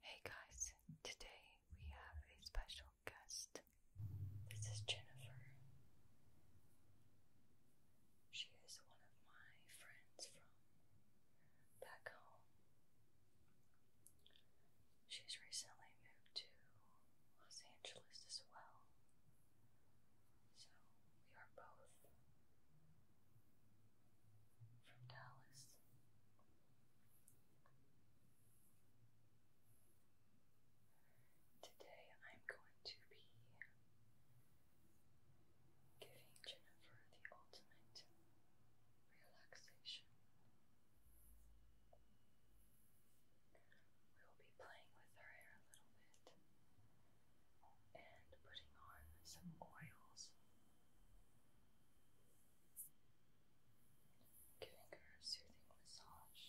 Hey guys, today we have a special guest. This is Jennifer. She is one of my friends from back home. She's recently moved to Los Angeles as well. So we are both from Dallas. Today I'm going to be giving Jennifer the ultimate relaxation. We will be playing with her hair a little bit and putting on some oils giving her a soothing massage.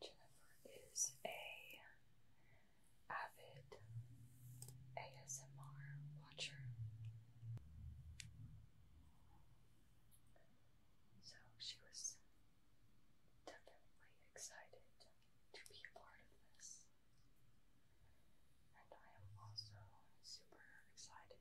Jennifer is a avid ASMR watcher. So she was definitely excited to be a part of this. And I am also super excited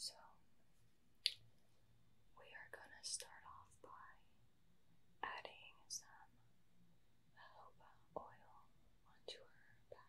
so we are going to start off by adding some jojoba oil onto her back.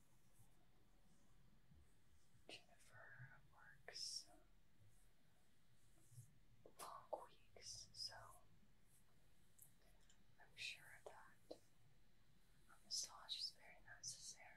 Jennifer works long weeks, so I'm sure that a massage is very necessary.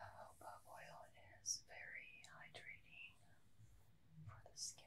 Jojoba oil is very hydrating for the skin.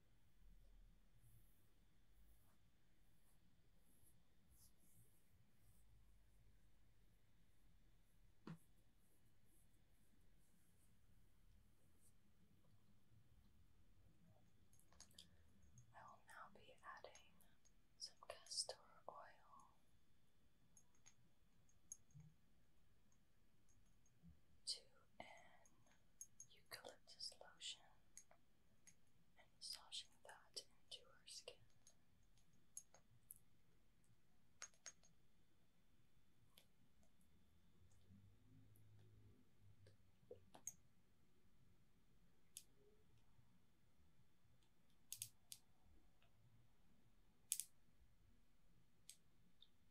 I will now be adding some castor oil to an eucalyptus lotion and massaging that into her skin.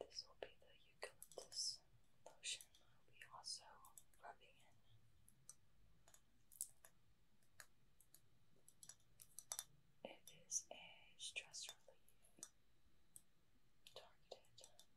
This will be the eucalyptus lotion I'll be also rubbing in. It is a stress relief targeted lotion.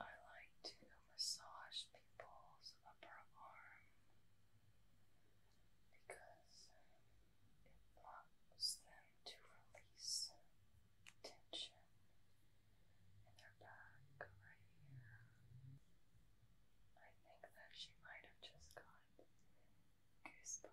I like to massage people's upper arm because it blocks them to release tension in their back right here. I think that she might have just got goosebumps.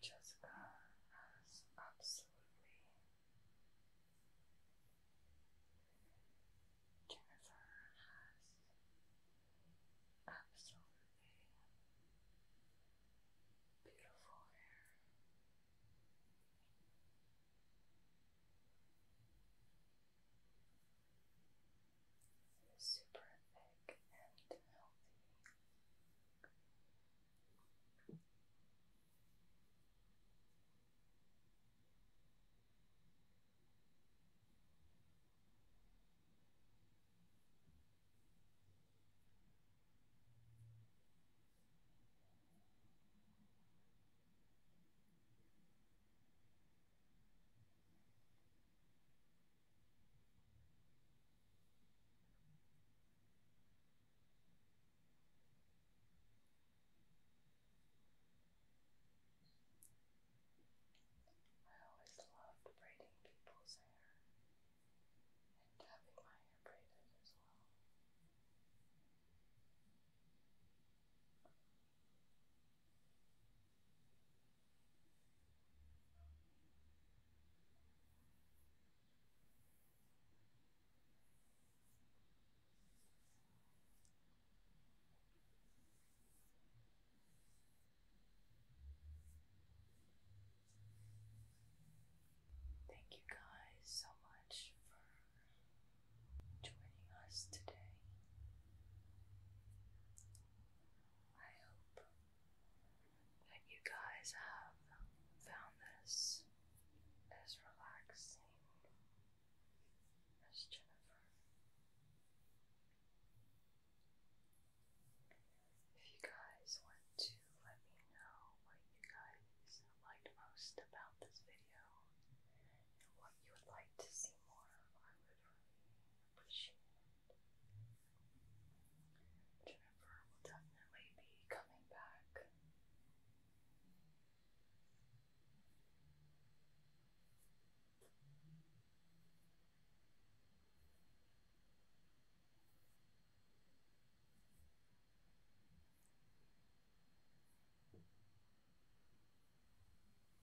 Jessica has absolutely. Jennifer has absolutely beautiful hair super thick and healthy. I always loved braiding people's hair and having my hair braided as well. Thank you guys so much for joining us today. I hope that you guys have found this as relaxing as Jennifer. If you guys want to let me know what you guys liked most about this video and what you would like to see more, I appreciate it. will definitely be coming back.